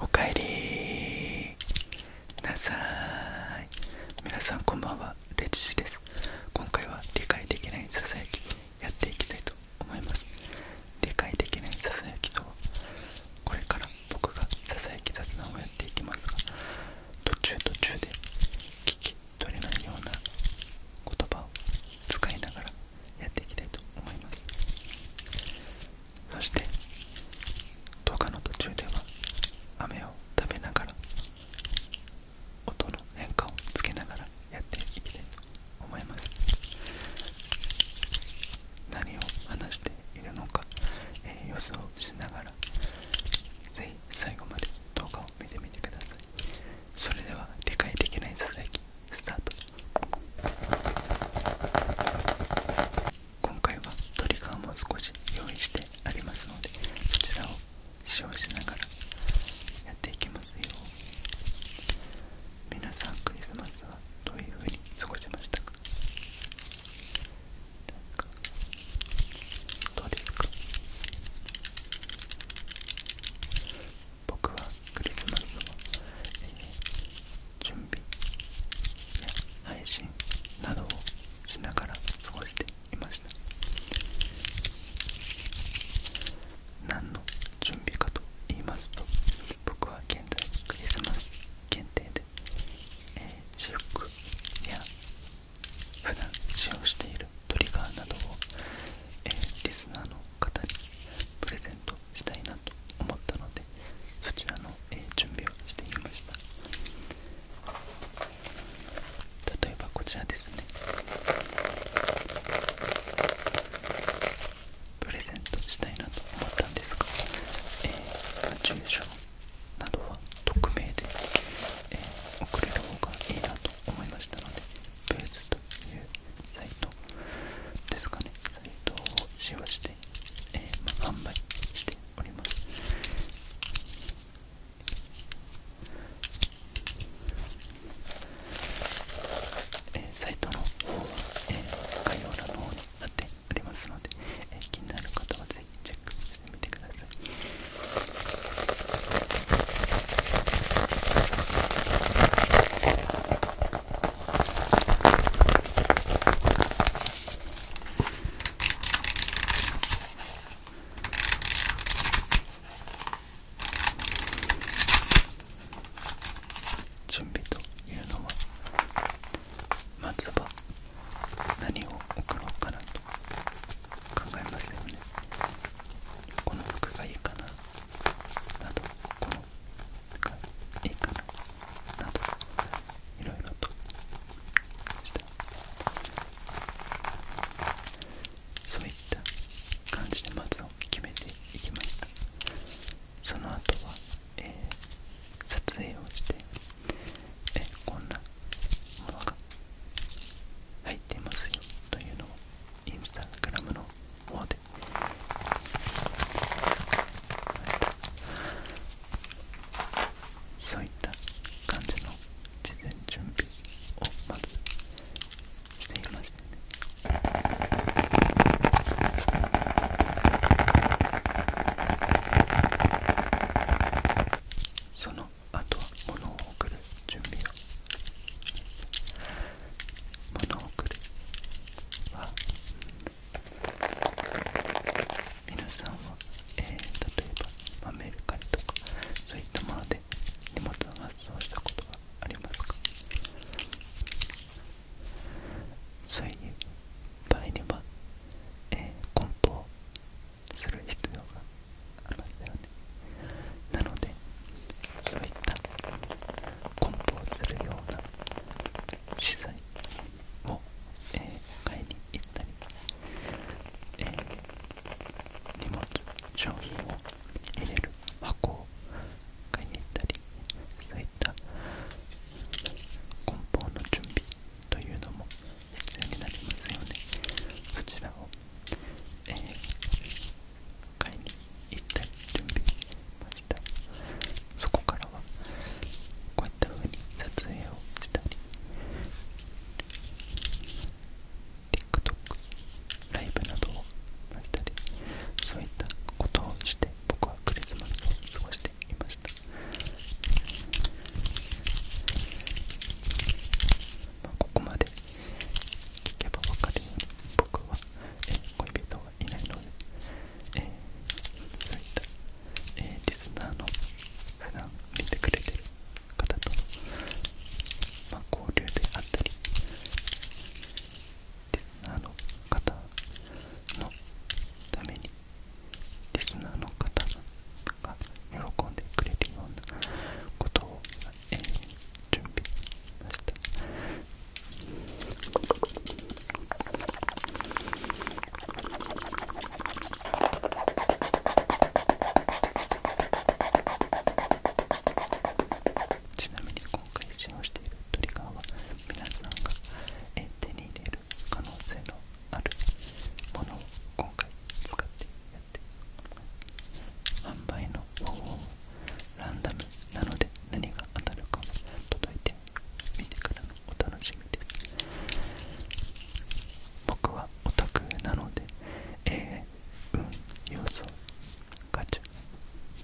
おかえりなさい皆さんこんばんはレジです今回は理解できないささやきやっていきたいと思います理解できないささやきとはこれから僕がささやき雑談をやっていきます途中途中で聞き取れないような言葉を使いながらやっていきたいと思いますそして動画の途中では飴を食べながら音の変化をつけながらやっていきたいと思います何を話しているのか、え予想しながらぜひ最後まで動画を見てみてくださいそれでは理解できないささやきスタート今回はトリガーも少し用意してありますのでそちらを使用しながらやっていきますよ皆さんクリスマスはどういう風に過ごしましたかどうですか僕はクリスマスの、準備や配信などをしながら過ごしていました何の準備かと言いますと僕は現在クリスマス限定です。えー、磁クや普段使用しているトリガーなどを、えー、リスナーの方にプレゼントしたいなと思ったのでそちらの、え準備をしてみました例えばこちらですねプレゼントしたいなと思ったんですが、えー、住所などは匿名で、えー、送れる方がいいなと思いましたのでベースというサイトですかねサイトを使用して、えーまあ、販売しておりますえー、サイトの方は、えー、概要欄の方に貼ってありますので、えー、気になる方はぜひチェックしてみてください準備というのは何を送ろうかなと考えましたよねこの服がいいかななどこの服がいいかななどいろいろとしてそういった感じでまずを決めていきましたその後は、えー、撮影をしてえこんなものが入っていますよというのをインスタグラムの方でそういった感じの事前準備をまずしていましたねその後は物を送る準備を物を送るは皆さんは、えー、例えば、まあ、メルカリとかそういったもので荷物を発送したことはありますかそういう場合には、えー、梱包する必要がありますなのでそういった梱包するような資材を、買いに行ったり、え荷物商品を入れる箱を買いに行ったりそういった梱包の準備というのも必そちらを、買いに行ったり準備しましたそこからはこういった風に撮影をしたり TikTok ライブなどをしたりそういったことをして僕はクリスマスを過ごしてまあ、ここまで聞けばわかるように僕は、えー、恋人はいないので、えー、そういった、えー、リスナーの普段見てくれてる方と、まあ、交流であったりリスナーの方のためにリスナーの方が喜んでくれるようなことを、準備しましたちなみに今回使用しているトリガーは皆さんが手に入れる可能性のあるものを今回使ってやって販売の方法ランダムなので何が当たるかも届いてみてからのお楽しみです僕はオタクなので、えー、運、要素、ガチャ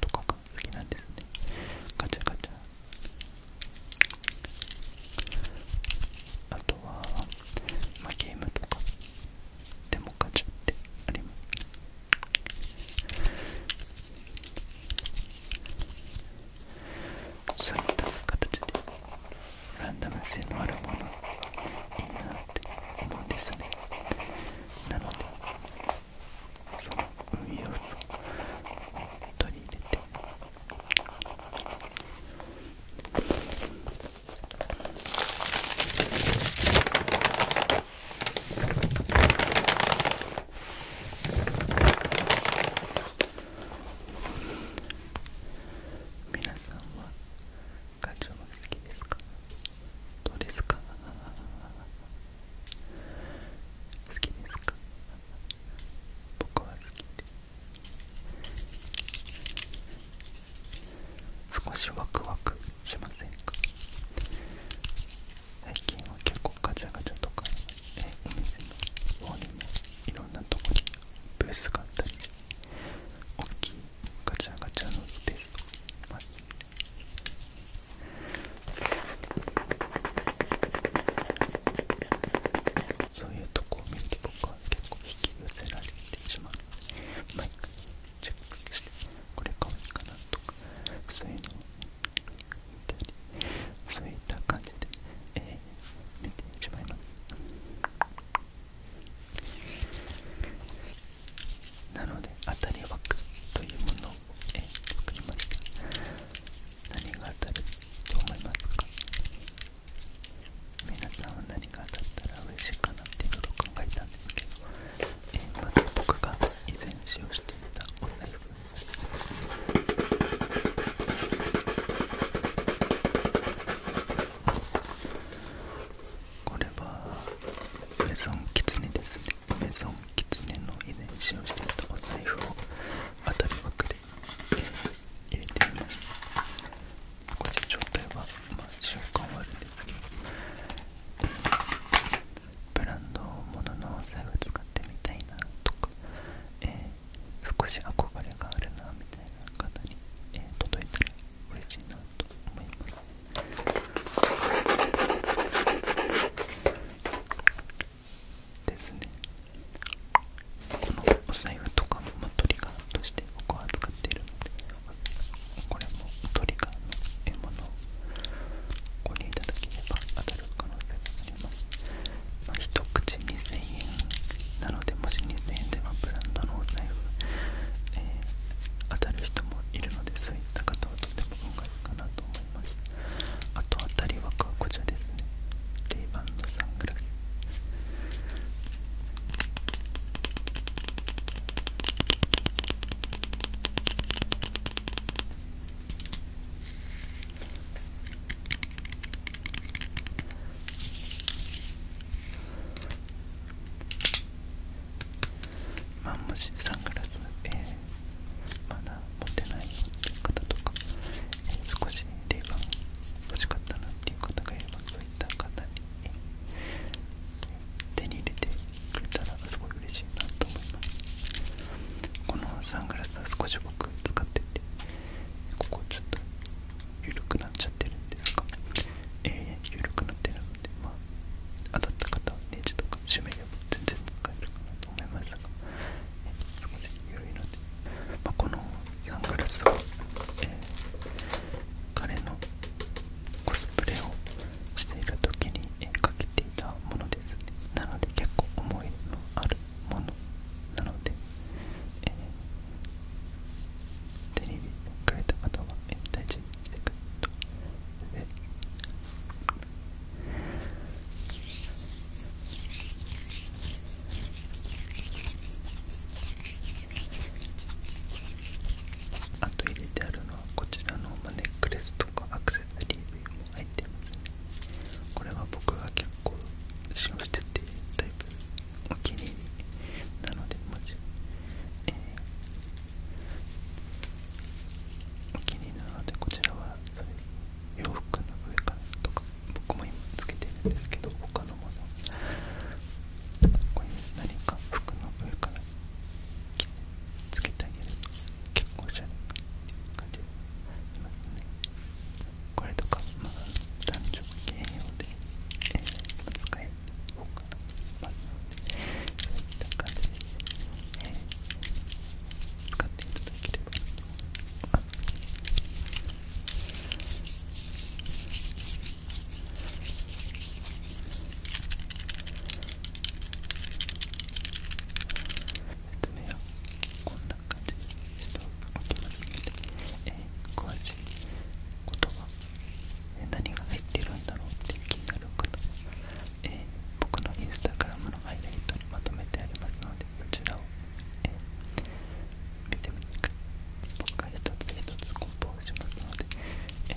とか好きなんでガチャガチャあとはまあ、ゲームとかでもガチャってありますそういった形でランダム性のあるものいいなって思うんですねなのでその運用を取り入れて皆さんはガチョウ好きですかどうですか好きですか僕は好きです少しワクワクしませんか最近は結構ガチャガチャとかえお店の方にもいろんなとこにブースがあったり大きいガチャガチャのスースとかますそういうとこを見て僕は結構引き寄せられてしまうマ毎回チェックしてこれか、愛いかなとかそういうのを見たりそういった感じで、えー、見てしまいますなので当たり枠というものを、えー、作りました何が当たると思いますか皆さんは何か当ったら嬉しいかなっていうこと考えたんですけど、え僕が以前使用していたお財布これはメゾンキツネですねメゾンキツネの以前使用していたお財布を当たりま枠で入れてみますこっち状態はまあ塩感はあるんですけどブランド物ののお財布使ってみたいなとか、えー、少し憧れがあるなみたいな方に、えー、届いたら嬉しいなと思いますですねこのお財布とかも、まトリガーとして僕は使っているのでこれもトリガーの獲物をご利用いただければ当たる可能性があります、ま一口2000円なのでもし2000円ではブランドのお財布、当たる人もいるのでそういった方はとても今回かなと思いますあと当たり枠はこちらですねレイバンのサングラスまあもしサングラス、えまだ持ってない方とか、少ししレバ欲しかったなっていう方がいればそういった方に手に入れてくれたらすごい嬉しいなと思いますこのサングラスは少し僕使っててここちょっと緩くなっちゃってるんですが、えー、緩くなってるのでま当たった方はネジとか締めれば全然使えるかなと思いますが、えー、少し緩いのでまあ、このサングラスは、えー、彼のコスプレをしている時に、えー、かけていたものですねなので結構思いのあるものなので、えー、テレビにくれた方は、えー、大事にしてくれとであと入れてあるのはこちらのネックレスとかアクセサリー類も入ってますねこれは僕が結構使用しててタイプ。お気に入り。なので、もちろん。ええ。お気に入りなのでもちろんええお気に入りなのでこちらは洋服の上からとか僕も今つけてるんですけど他のものこ何か服の上からつけてあげると結構おしゃれな感じしますねこれとかまあ男女兼用で、えー、使える方かなまあそういった感じで、使っていただければと思います説明はこんな感じにしておきますので、えー、詳しいことは、えー、何が入ってるんだろうって気になる方は、えー、僕のインスタグラムのハイライトにまとめてありますのでそちらをえ見てみてく僕が一つ一つ梱包しますのでえ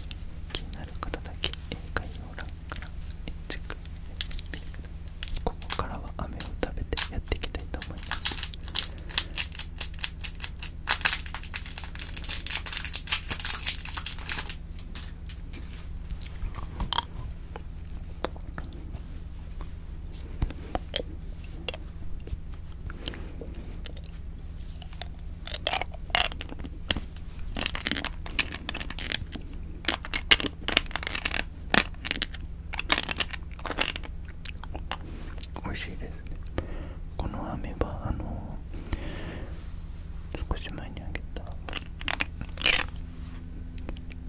気になる方だけ概要欄からチェックしてみてくださいここからは飴を食べてやっていきたいと思います美味しいですねこの飴はあの少し前にあげた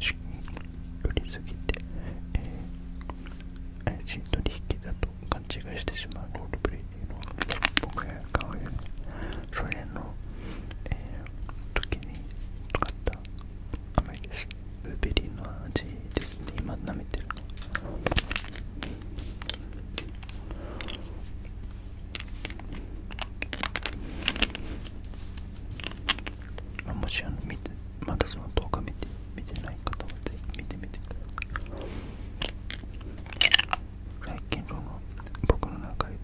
しっくりすぎて、怪しい取引だと勘違いしてしまうロールプレイのは僕が買うよそれの、えー、時に使った甘いですブルーベリーの味で今舐めてるのもしあの見まだその動画見て見てない方はぜひ見てみてください最近その僕の中で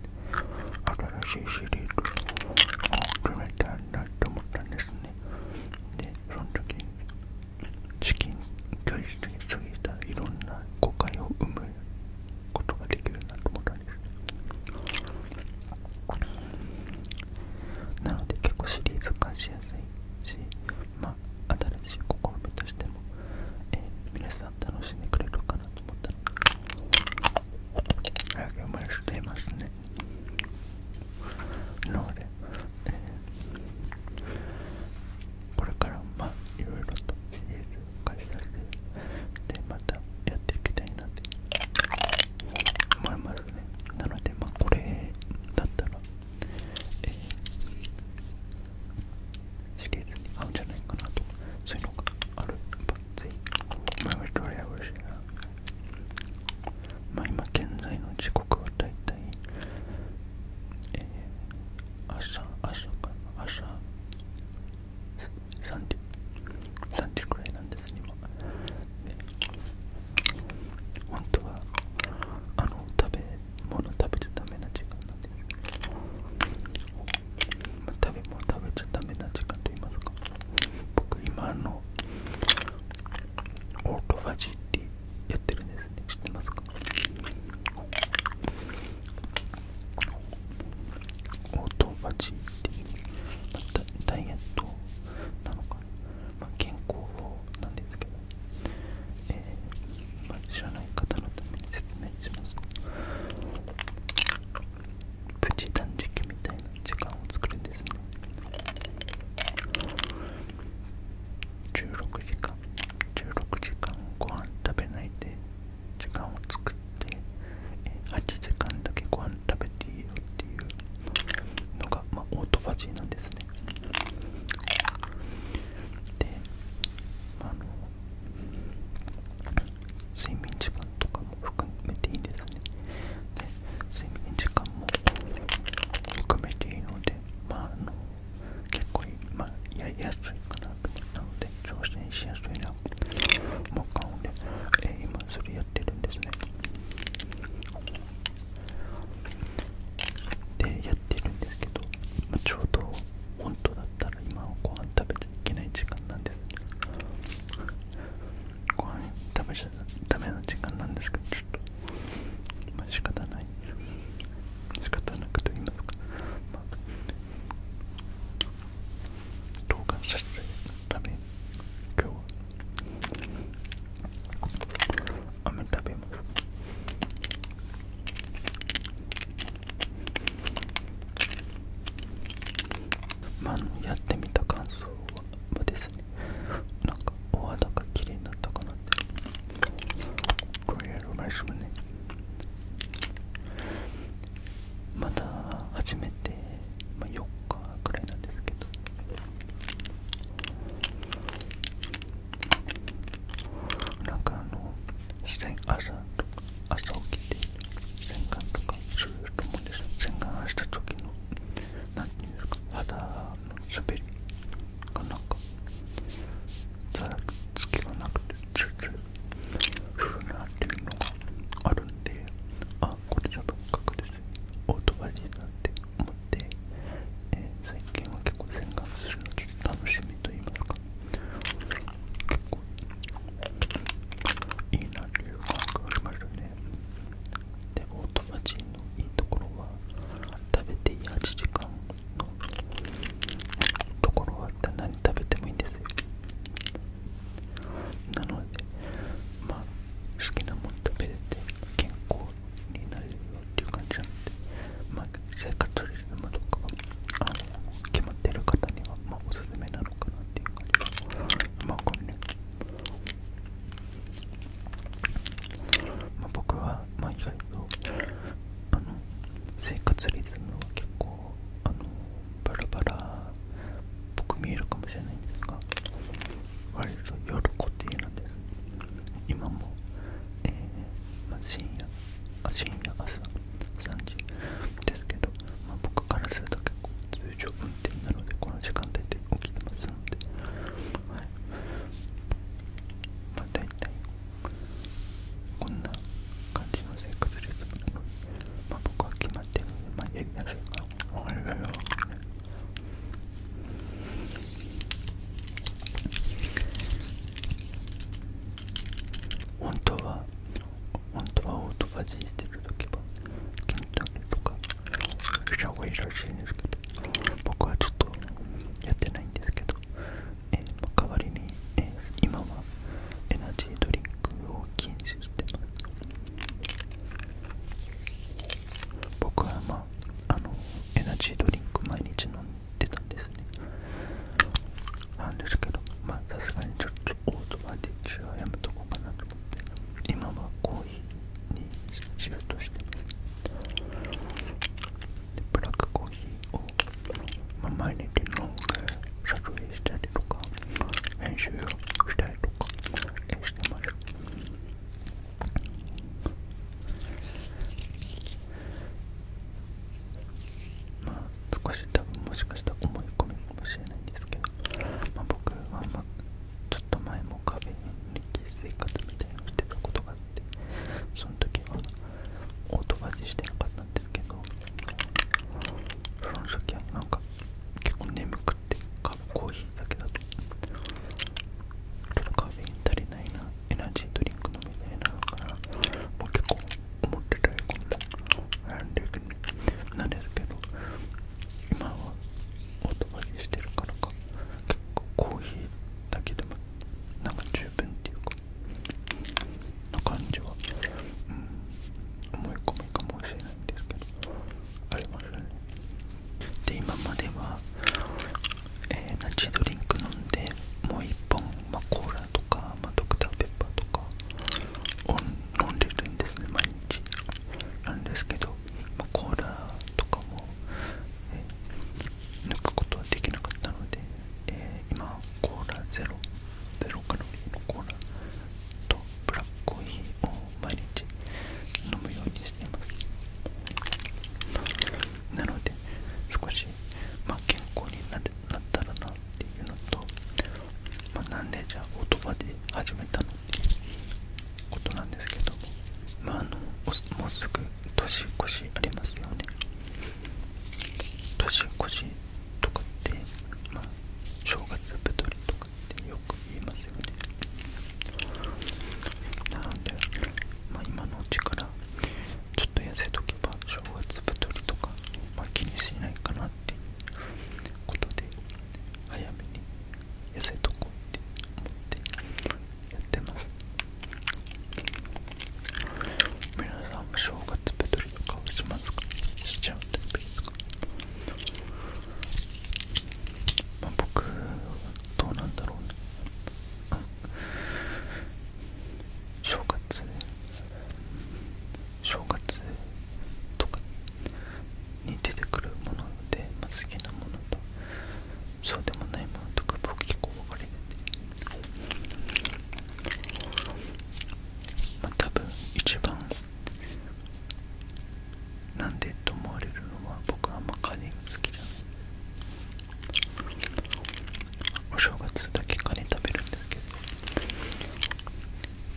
新しいシリーズを決めたんだと思ったんですねでその時に資金教室に過ぎたいろんな誤解を生むことができるなと思ったんですなので結構シリーズ化しやすいし、まあ、新しい試みとしても、えー、皆さん楽しんでくれるかなと思ったので早まれしますねなので、これからまあいろいろとシリーズ化したりでまたやっていきたいなって思いますねなのでまあこれだったらえー、シリーズに合うんじゃないかなとそういうのがあるぜひマイトレアウシがまあ今現在の時刻はだいたいえー、朝朝かな朝3時3時くらいなんです今、ね本当はあの食べ物食べちゃダメな時間なんです食べ物食べちゃダメな時間と言いますか僕今のオートファジーってやってるんですね知ってますかオートファジーっていう、ダイエットなのかま健康法なんですけど、えーまあ、知らない方のために説明しますプチ断食みたいな時間を作るんですね16時間16時間ご飯食べないで時間を作って8時間だけご飯食べていいよっていうのが、まオートファジーなんですねであの睡眠時間とかも含めていいですねで睡眠時間も含めていいのでまあの結構いやりやすいかななので挑戦しやすいなもう買うのえ今それやってるんですねでやってるんですけど、まあ、ちょうど本当だったら今はご飯食べちゃいけない時間なんですご飯食べちゃダメな時間なんですけどちょっとまあ仕方ない仕方なくといいますか、まあ、動画撮影のため今日は雨食べますまあやってみた感想はですねなんかお肌が綺麗になったかなってこれやるましもねまだ始めて、まあ、4日くらいなんですけどなんかあの朝とか朝起きて洗顔とかする人もですよ洗顔した時の何ていうんですか肌の滑りがなんかざらつきがなくてツルツルふうなっていうのがあるんであこれじ多分確実オートバジになんて思って、え最近は結構洗顔するのちょっと楽しみと言いますか結構いいなという感覚がありますよねでオートバチのいいところは食べていい8時間のところは何食べてもいいんですよなのでまあ好きなもの食べれて健康になるよっていう感じなので、まあ、生活リズムとかが決まってる方には、まあ、おすすめなのかなっていう感じで、まあ、これね、まあ、僕は、まあ、意外とあの生活リズムは結構あのバラバラ僕見えるかもしれないんですが。割と夜固定なんです今も、えーまあ、深夜あ深夜朝3時ですけど、まあ、僕からすると結構通常運転なのでこの時間帯で起きてますので、はいまあ、大体こんな感じの生活リズムなので、まあ、僕は決まってるので、まあ、やりましょうか。おはようございます。本当は本当はオートファジーしてるときはケンタケとかした方がいいらしいんですけど僕はちょっとやってないんですけど、えーまあ、代わりに、えー、今はエナジードリンクを禁止してます僕はまああのエナジードリンク毎日飲んでたんですねなんですけどまあさすがにちょっとオートバイで一クはやめとこうかなと思って今はコーヒーにシフトしてますでブラックコーヒーを、まあ、毎日飲んで撮影したりとか編集をしたりとかしてますまあ少し多分もしかしたら思い込みかもしれないんですけど、ま僕は、まちょっと前も壁に生活みたいなをしてたことがあってその時はオートバジしてなかったんですけどその時はなんか結構眠くて。かコーヒーだけだとちょカフェイン足りないなエナジードリンク飲みたいなのかなもう結構思ってたよコんな悩んなんですけど今はお泊まりしてるからか結構コーヒーだけでもなんか十分っていうかの感じは、思い込みかもしれないんですけどありますよねで今までは、えナチドリンク飲んでもう1本、まコーラとか、まドクターペッパーとか飲んでるんですね毎日なんですけど、まコーラとかも、抜くことはできなかったので、え今コーラ0ロゼロカロリーのコーラとブラックコーヒーを毎日飲むようにしてますなので少し、まあ、健康になったらなっていうのと、まなんでじゃあ言まで始めたのってことなんですけどまああのもうすぐ年越しありますよね年越しとかってまあ正月太りとかってよく言いますよねなので、まあ、今のうちからちょっと痩せとけば正月太りとか、まあ、気にしないかなっていうことで早めに痩せとこうって思ってやってます皆さんも正月太りとかしますかしちゃうタイプですかまあ、僕どうなんだろうね正月正月とかに出てくるもので、まあ、好きなものとそうでもないものとか僕結構分かれててまあ多分一番なんでと思われるのは僕はあーまカニが好きじゃなお正月だけカニ食べるんですけど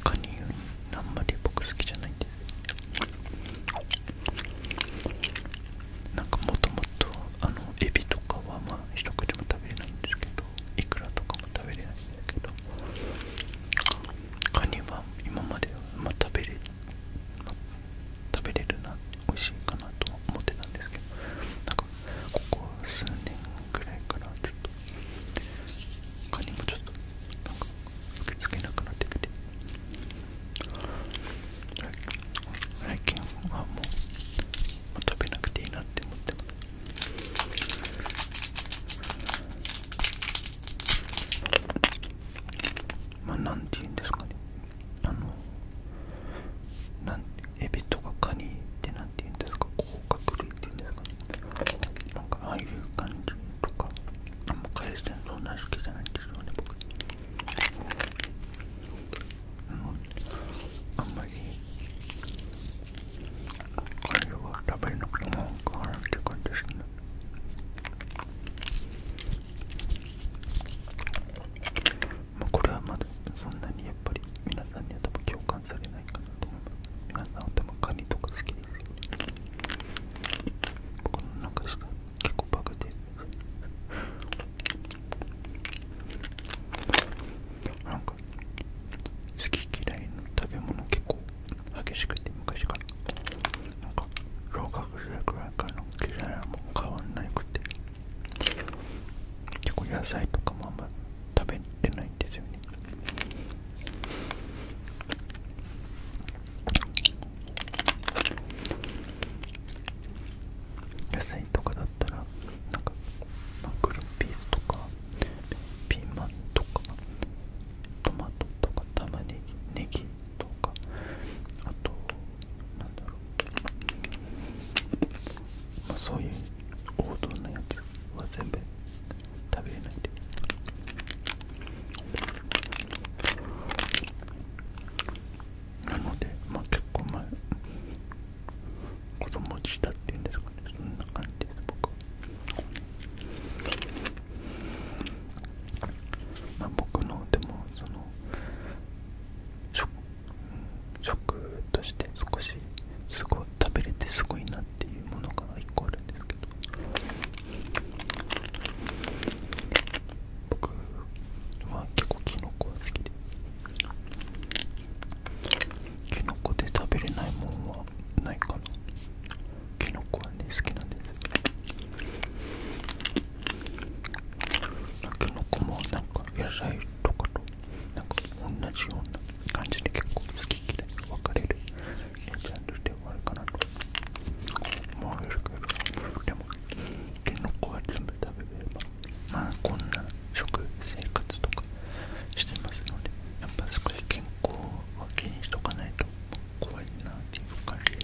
カニより、あんまり僕好きじゃないんですなんかもともとあのエビとかはまあ一口も食べれないんですけどいくらとかも食べれないんですけどカニは今までは、まあ、食べれ食べれるな美味しいかなと思ってたんですけどなんかここ数年ぐらいからちょっと他にもちょっとなんか受け付けなくなってきて最近はもう食べなくていいなって思って食べますまあ何て言うんですかねあのなんエビとかカニって何て言うんですか甲殻類って言うんですかねなんかああいう感じとかあんまあんまりカレーは食べなくても変わらないって感じですねまあ、これはまだそんなにやっぱり皆さんには多分共感されないかなと思います皆さんは多分カニとか好きですよね僕の中下結構バグでなんか好き嫌いの食べ物結構激しくて昔からなんか老眼学学科の嫌いはもう変わんなくて結構野菜とかもあんま食べれないんですよね野菜とかだったらなんかマクルピースとかピーマンとかトマトとか玉ねぎネギとかあとなんだろう、そういう王道のやつは全部食べれないでなので結構子供自体っていうんですかねそんな感じです僕は僕のでもその食として少しすごい食べれてすごいなっていうものが1個あるんですけど僕は結構キノコは好きでキノコで食べれないもんはないかなキノコはね好きなんですきのこもなんか野菜とかとなんか同じような感じで結構好き嫌いが分かれるジャンルではあるかなと思われるけどでもきのこは全部食べればまあこんな食生活とかしてますのでやっぱ少し健康を気にしとかないと怖いなっていう感じで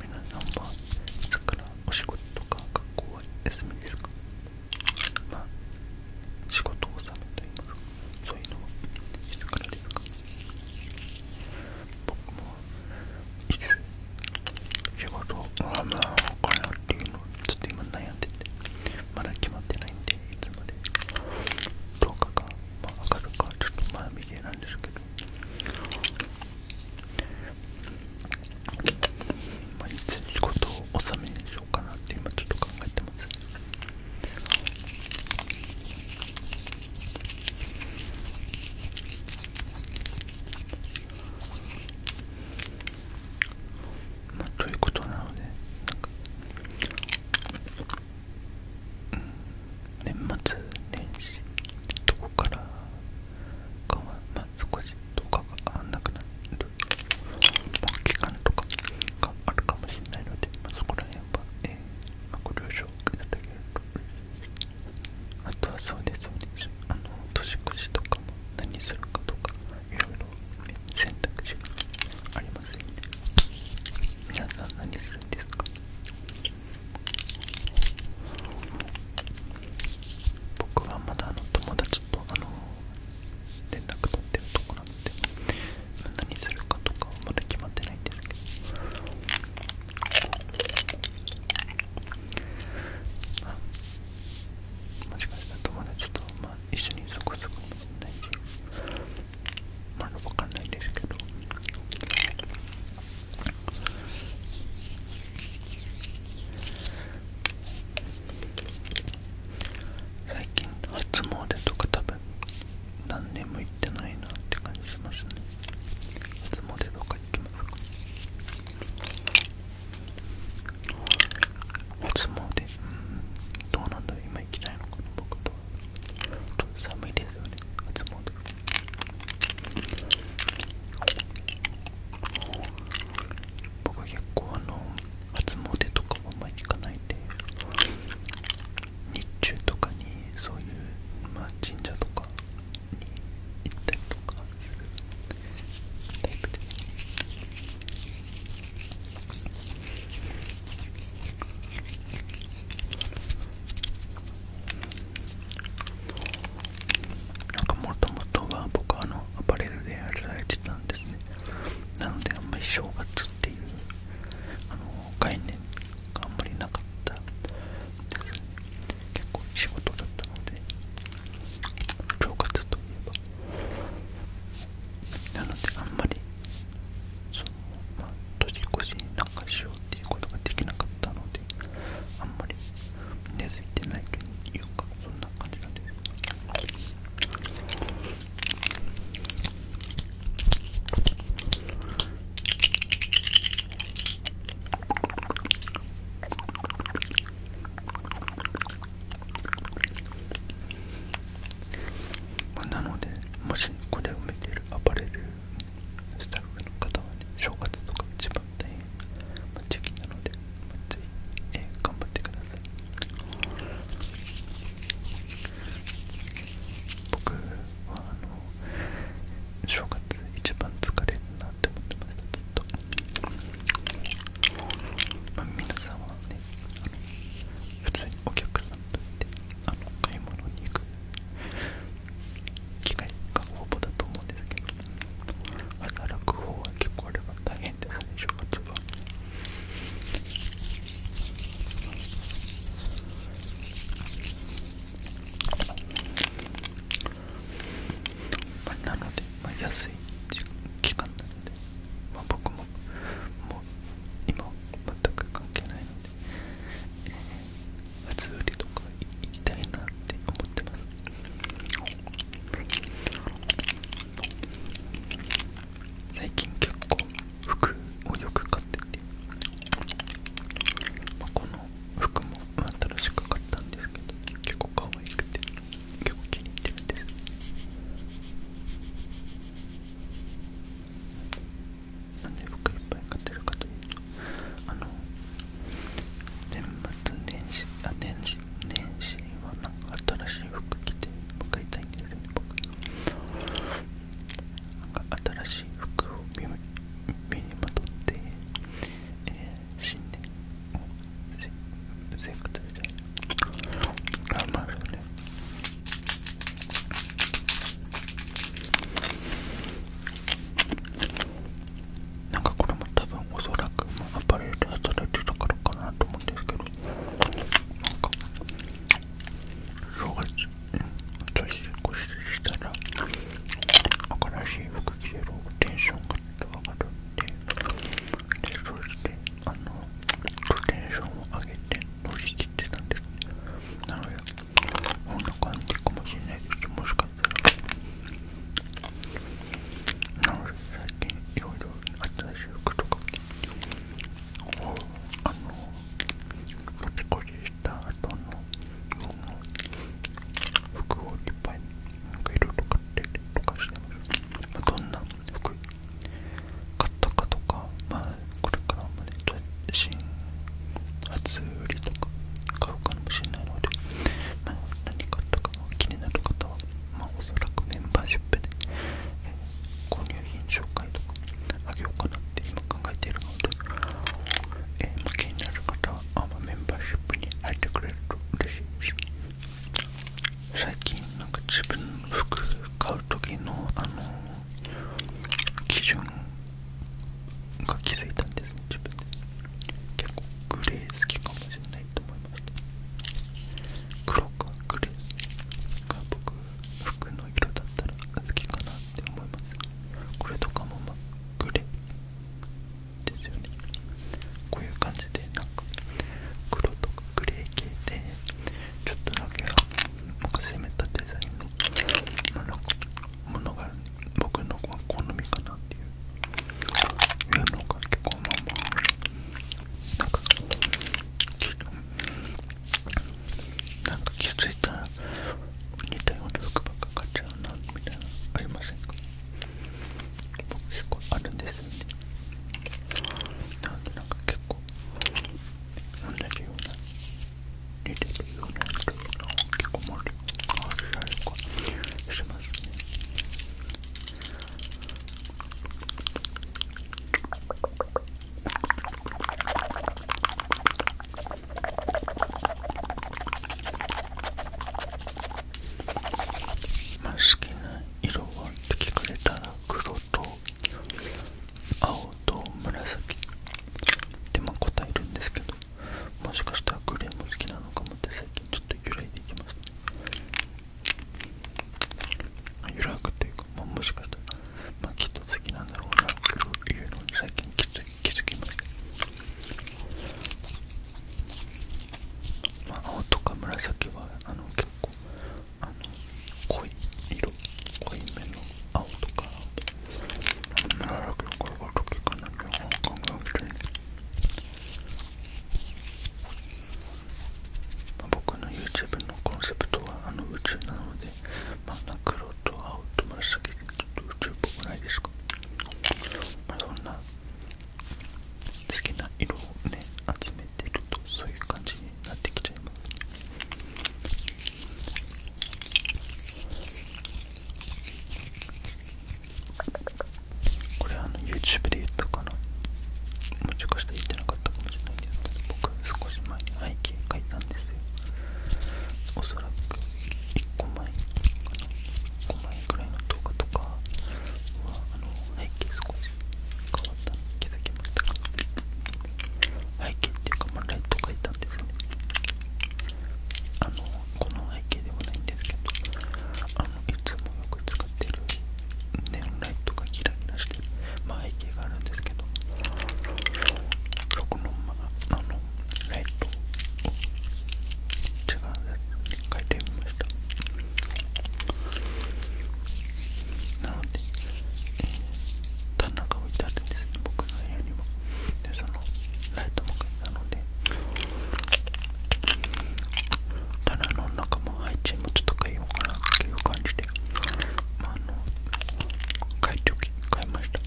皆さんは、いつからお仕事か学校は休みですかま仕事納めといいまそういうのはいつからですか僕も、仕事をまあ、これっていうのをちっと今悩んでて、まだ決まってないんで、いつまで10日まあ、上がるか、ちょっとまだ未定なんですけど、まあ、いつ仕事を納めにしようかなって今ちょっと考えてますまあ、ということなので年末年始どこからかは少しとかがなくなる、期間とかがあるかもしれないので、まそこら辺は、えーまあ、ご了承いただけるとあとはそうですよねあの年越しとかも何するかとかいろいろ選択肢がありませんので。皆さん何するんですか僕はまだあの友達とあの連絡取ってるとこなんで何するかとかはまだ決まってないんですけどあもしかしたら友達とまあ一緒にそこそこ。もないしまだわかんないですけど最近初詣とか多分何年も行ってないなって感じしますね初詣とか行きますか初詣うんどうなんだろう今行きたいのかな僕とは寒いですよね初詣僕は結構あの初詣とかも前に行かないんで日中とかにそういう、まあ、神社とかに行ったりとかするタイなんかもともとは僕はあのアパレルでやられてたんですねなのであんまり正月っていうあの概念があんまりなかったですね結構仕事だったので正月といえばなのであんまりそのまあ年越しに何かしようっていうことができなかった。っのであんまり根付いてないというかそんな感じなんですなのでもしこれを見ているアパレルスタッフの方はね正月とか一番。張まあ、チキなので、まあ、ぜひ、えー、頑張ってください僕はあの正月一番疲れるなって思ってましたっと、まあ、皆さんはねあの普通にお客さんとしてあの買い物に行く機会がほぼだと思うんですけど働く方は結構あれば大変ですね正月はまあ、なので、まあ、安い期間なので、まあ、僕ももう今全く関係ないので、えー、売りとか行きたいなって思ってます最近結構服をよく買ってて、この服も新しく買ったんですけど結構可愛くて結構気に入ってるんですなんで服いっぱい買ってるかというとあの全年月年始あ年始年始はなんか新しい服着て向いたいんですよね僕なんか新しい服を身身にまとって、えー、新年を生活みたいな頑張るよねなんかこれも多分おそらくアパレルで働いてたからかなと思うんですけどなんか正月年越ししたら新しい服着てるテンションが上がるんででそうしてあのテンションを上げて乗り切ってたんですなのでこんな感じかもしれないですもしかなんか最近いろいろ新しい服とかをあの持ちこした後の服をいっぱいなんかいろいろ買ってとかしてます、まあ、どんな服買ったかとか、まあ、これからまで新初売りとか買うかもしれないので、何買ったか気になる方は、まおそらくメンバーシップで、購入品紹介とかあげようかなって今考えているので、えー気になる方はあ、まメンバーシップに入ってくれると嬉しいです最近なんか自分の服買う時のあの基準が気づいたんですね自分で結構グレー好きかもしれないと思いました黒かグレーが僕服の色だったら好きかなって思いますこれとかもまあグレーですよねこういう感じでなんか黒とかグレー系でちょっとだけなんか攻めたデザインの、なんかものがあるん僕の子は好みかなっていういうのが結構まあまあなんかなんか気づいたら似たような服ばっか買っちゃうなみたいなありませんか結構あるんですよねなんでなんか結構同じような似てるような服が結構もあるあるあかしま好きな色はって聞かれたら黒と青と紫って答えるんですけどもしかしたらグレーも好きなのかもって最近ちょっと。ち揺らいでいきます、ね、揺らぐというか、まもしかしたら、まきっと好きなんだろうなっていうのに最近気づ気づきましたま青とか紫はあの結構あの濃い色濃い目の青とか紫とかこれは時かなきゃ考えなくてま僕の YouTube のコンセプトはあの宇宙なので、まあ、なんか黒と青と紫でちょっと宇宙っぽくないですか、まあ、そんな好きな色をね集めてるとそういう感じになってきちゃいますこれあの YouTube で言ったかなもしかしたら言ってなかったかもしれないんですけど僕少し前に背景描いたんですよおそらく1個前かな1個くらいの動画とかはあの背景少し変わったの気づきました背景っていうかまライト描いたんですねあのこの背景ではないんですけどいつも僕使ってるネオンライトがキラキラしてる、まあ、背景があるんですけどその,、あ、のライトを違うやつに変えてみましたなので、えー、棚が置いてあるんですね僕の部屋には。でそのライトも買ったのでて棚の中も配置もちょっと変えようかなっていう感じで、あ、の買い時買いました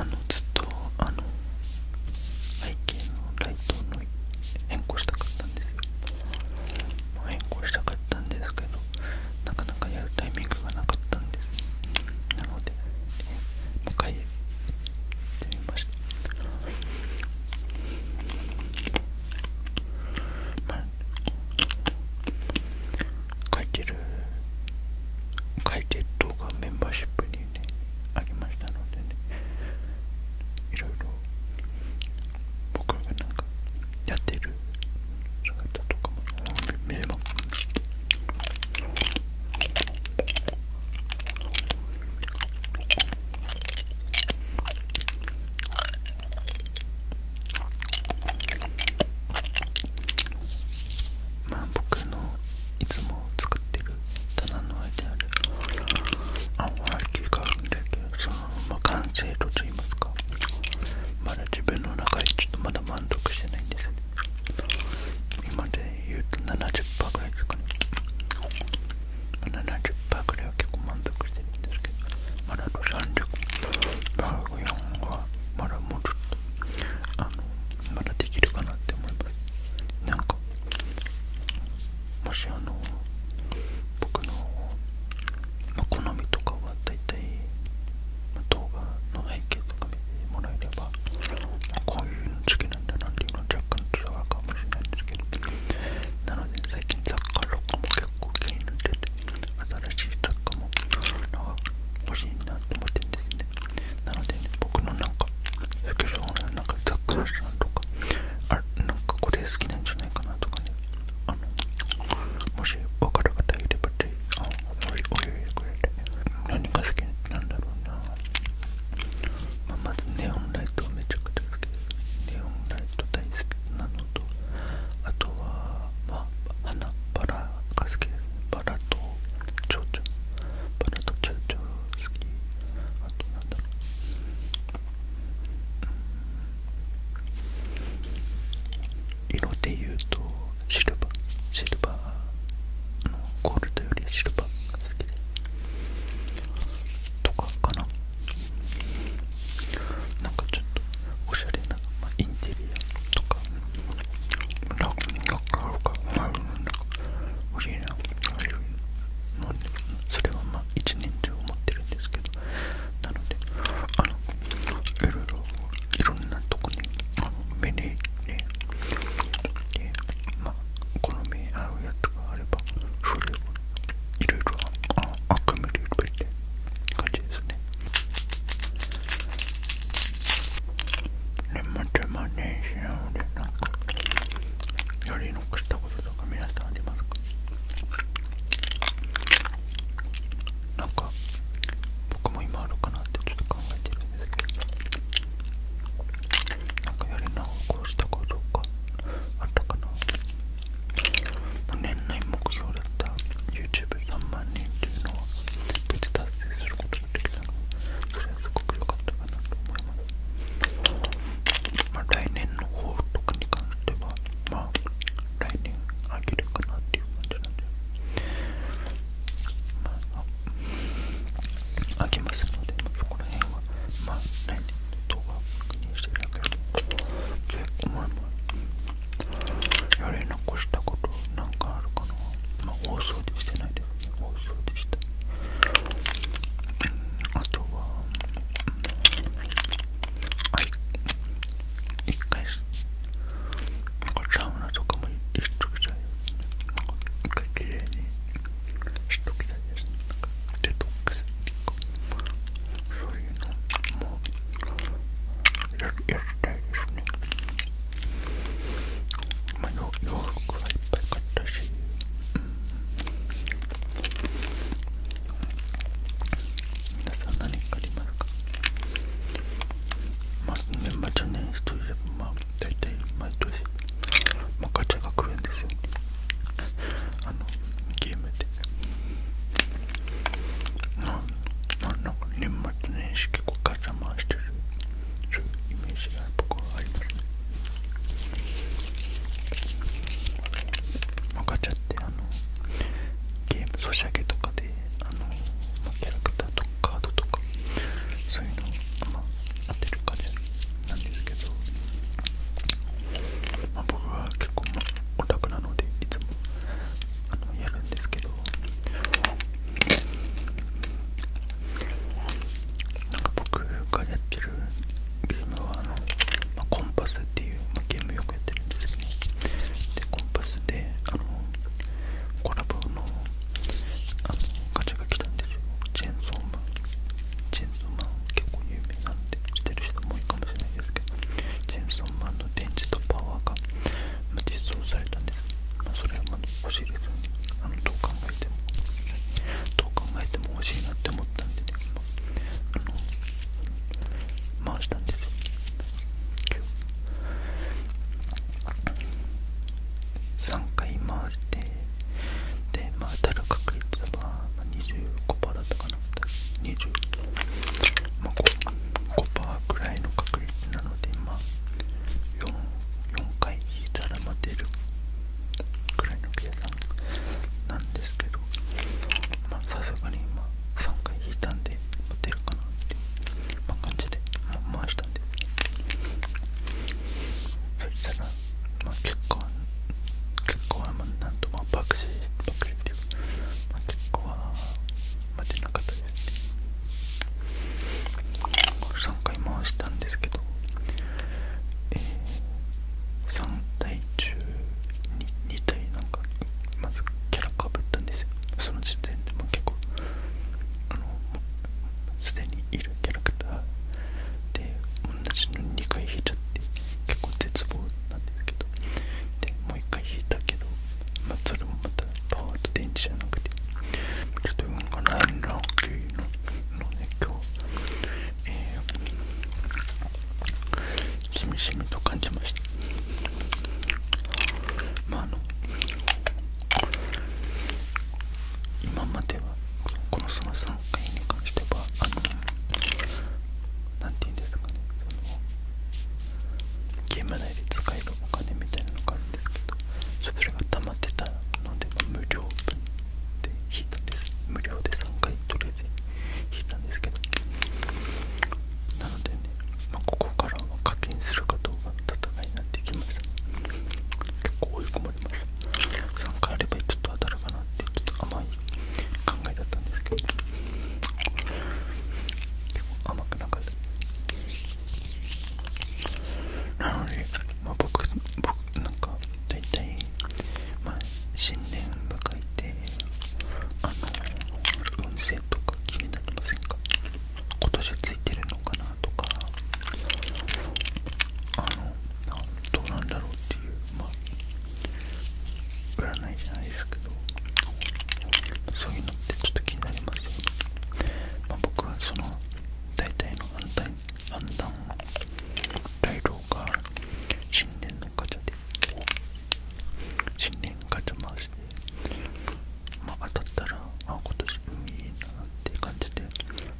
あのずっとあの背景のライトの変更したかったんです変更したかったんですけどなかなかやるタイミングがなかったんですなので、えー、もう一回書いてる書いてる動画メンバーシップにねありましたのでねいろいろ僕がなんかやってる姿とかも迷惑してま僕のいつも使ってる棚の間にあるアンキーがあるんだけどその完成度といいますかまだ自分の中でちょっとまだ満足してないんです今で言うと70%ぐらいですかね70%ぐらいは結構満足してるんですけどまだあと30%ラグ4はまだもうちょっとあのまだできるかなって思えばすなんかもしあの僕の、好みとかはだいたい動画の背景とか。か見てもらえれば、こういうの好きなんだなっていうのは若干伝わるかもしれないんですけど、なので最近サッカーとかも結構気になってて、新しいサッカーも欲しいなと思ってるんですね。なので、ね、僕のなんか、スケジュールのなんかザックラシャンとか、あなんかこれ好きなんじゃないかなとかね、あのもし分かる方いれば、ぜひ、あお湯くれて何が好きなんだろうな、まあ、まずネオンライトめちゃくちゃ好きですネオンライト大好きなのとあとは、まあ、花バラが好きですバラと蝶々バラと蝶々好きあとなんだろう色で言うとシルバーシルバのゴールドよりシルバーが好きでとかかななんかちょっとおしゃれな、まあ、インテリアとかなんかあるかなんか欲しいなのそれはまあ一年中思ってるんですけどなのであのいろいろいろんなとこに目でで、まあ、好み合うやつがあればそれをいろいろ集めればいいって感じですね。年末マネージでなんかやり残したこととか皆さんありますかなか僕も今あるかなってちょっと考えてるなんかやり直こうしたことかあったかな年内目標だった YouTube3 万人っていうのは無事達成することができたのそれはすごく良かったかなと思いますまあ来年の抱負とかに関してはまあ来年あげるかなっていう感じなんでまあ、開けますので、そこら辺は、まあ、来年の動画していだければと思います。やれ残したことなんかあるかなまあ、大掃除してないですね。大掃でしたい。あとは、はい、一回、なんかサウナとかも行っときたい。一回綺麗にしときたいですねデトックスっていうかそういうのもややりたいですねまあ洋服はいっぱい買ったし、うん、皆さん何かありますかまあ、年末年始といえば、まあ、大体毎年、まあ、ガチャが来るんですよあのゲームでななんなんか年末年始結構ガチャ回してるそういうイメージが僕はありますね、まあ、ガチャってあのゲームソシャゲとかであの、キャラクターとかカードとかそういうのを、まあ、当てるかでなんですけど、まあ、僕は結構、まあ、オタクなのでいつもあのやるんですけどなんか僕がやってるゲームはあの、まあ、コンパスっていう、まあ、ゲームをよくやってるんですけど、でコンパスであのコラボのあのガチャが来たんですよチェーンソーマンチェーンソーマン結構有名なんで知ってる人も多いかもしれないですけどチェーンソーマンの電池とパワーが実装されたんです、まそれはまず欲しいですあのどう考えてもどう考えても欲しいなって思ったんでね、まあの回したんですよ3回回してで、当たる確率は25%だったかな20、まあ、5%くらいの確率なので、4, 回引いたら待てるくらいの計算なんですけどさすがに、ま3回引いたんで待てるかなっていう、感じで、回した。ったんでそしたらまあ結構、結婚はまなんとまあ爆死爆死っていうまあ結構は待てなかったですね。3回回したんですけどえー、3対中 2, 2対なんかまずキャラかぶったんですよその時点でも結構あのすでにいるキャラクターで同じの2回引いちゃって結構絶望なんですけどでもう1回引いたけど、まあ、それもまたパワーと電池じゃなくてちょっと運がないなっていうので、今日、えしみしみと感じましたまああの今まではこのその3回に関してはあの何て言うんですかねそのゲーム内で使えるお金みたいなのがあるんですけどそれが溜まってたので無料で引いたです無料で3回取りあえず引いたんですけどなのでね、まここからは課金するか？戦いになってきました結構追い込まれました3回あればちょっと当たるかなってちょっと甘い考えだったんですけど結構甘くなかったなので、まあ、僕僕なんか大体、まあ、新年迎えてあの運勢とか気になりませんか今年ついてるのかなとかあのどうなんだろうっていうま占いじゃないですけどそういうのってちょっと気になりますよね、ま僕はその大体の判断判断材が新年のガで新年ガ回してまあ、当たったらあ今年運いいなって感じで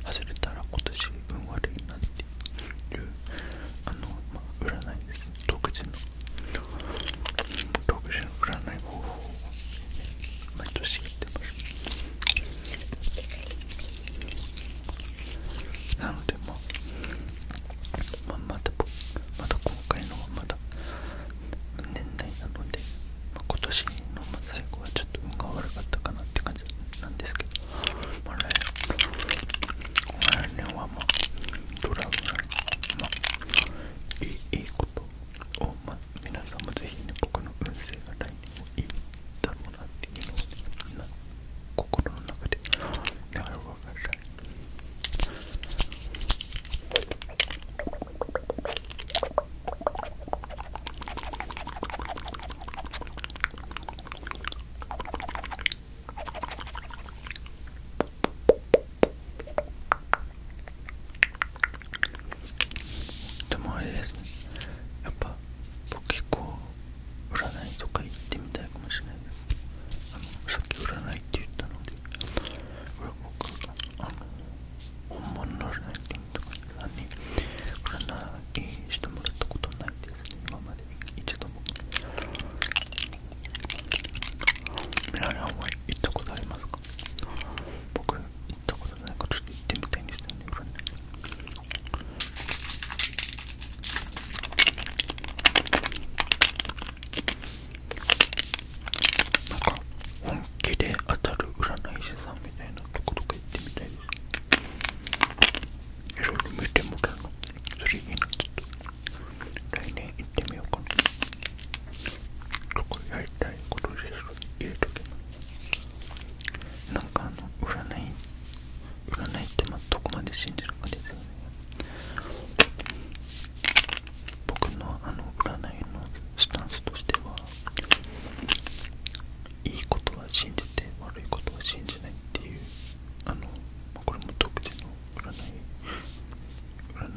外れたら今年運悪いなっていうあの、まあ、占いですね独自の独自の占い方法を毎年やってますなのでまあまあ、まだまだ今回のはまだ年内なのでま今年の最後はちょっと運が悪かったかなって感じなんですけど、まあ、来年はまあドラムなり、まあ、いいいいことを、まあ、皆さんもぜひね僕の運勢が来年もいいだろうなっていうのを、ね、みんな心の中でながら分え。る。でもあれですねやっぱ僕結構占いとか行ってみたいかもしれないですあのさっき占いって言ったのでこれ僕あの本物のランンとかにしてもらったことないです今まで一度も皆さんは行ったことありますか僕行ったことないからち行ってみたいんですよね毛で当たる占い師さんみたいなところか行ってみたいですいろいろ見てもらうのそれいいなちょっと来年行ってみようかなどこやりたいことで入れとけばなんかあの占い占いってまあどこまで信じるかですよね僕のあの占いのスタンスとしてはいいことは信じて悪いことは信じないっていうあのこれも独自の占い占いの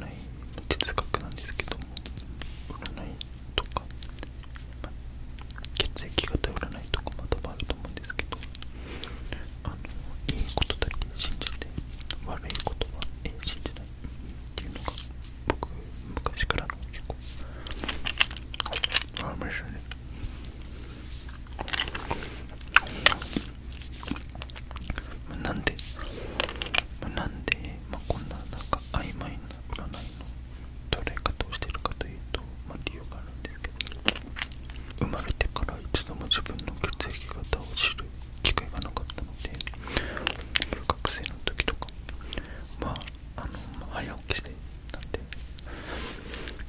哲学なんですけども占いとか、血液型占いとかま分あると思うんですけどいいことだけ信じて悪いことは信じないっていうのが僕昔からの結構あ面白いねなんでなんで、まあ、こんななんか曖昧な占いの捉れ方をしてるかというと、まあ、理由があるんですけど生まれてから一度も自分の血液型を知る機会がなかったので学生の時とかまああの早起きしてなんで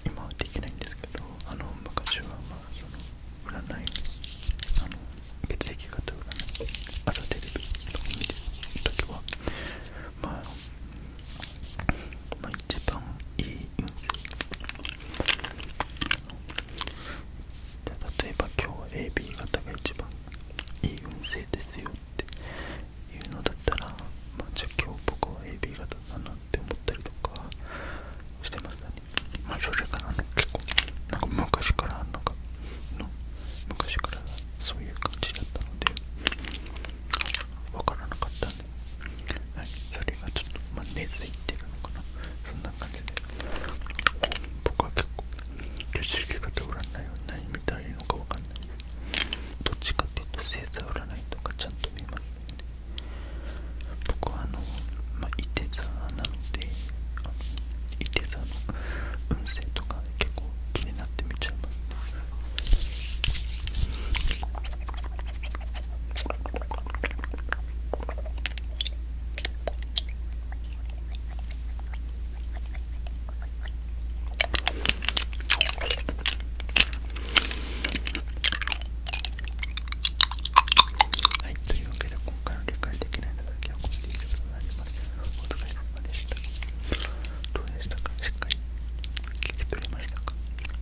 今はできないんですけどあの昔はまあその占いあの血液型占いあるテレビとか見時はまあ、まあ、一番いい運勢例えば今日は AB 型が一番いい運勢ですよっていうのだったら、まあ、じゃあ今日僕は AB 型だなって思ったりとかしてましたね。まあ、それからね、結構、なんか昔からあんのかの、昔からそういう感じだったので、わからなかったんで、はい、それがちょっと、ま根付いてるのかな。そんな感じで、僕は結構、血液型占いを何見たらいいのかわかんないどっちかっていうと星座占いとかちゃんと見ますね僕はあの、まあ、いて座なのであのいて座の運勢とか結構気になって見ちゃいます、ね、はい、というわけで今回の理解できないのだけはこれで以上となります。お疲れ様でした。どうでしたかしっかり聞いてくれましたか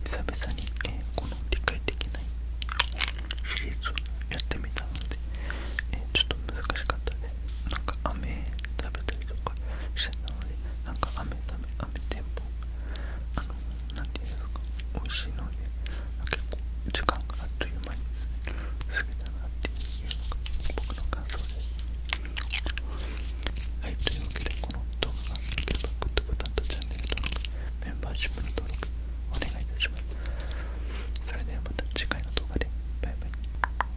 久々に、この理解できないシリーをやってみたので、ちょっと難しかったです。なんか飴食べたりとかかしてたのでなんか飴食べ飴店舗あなんて言うんですか美味しいので結構時間があっという間に過ぎたなっていうのが僕の感想ですはいというわけでこの動画が良ければグッドボタンとチャンネル登録メンバーシップの登録お願いいたしますそれではまた次回の動画でバイバイ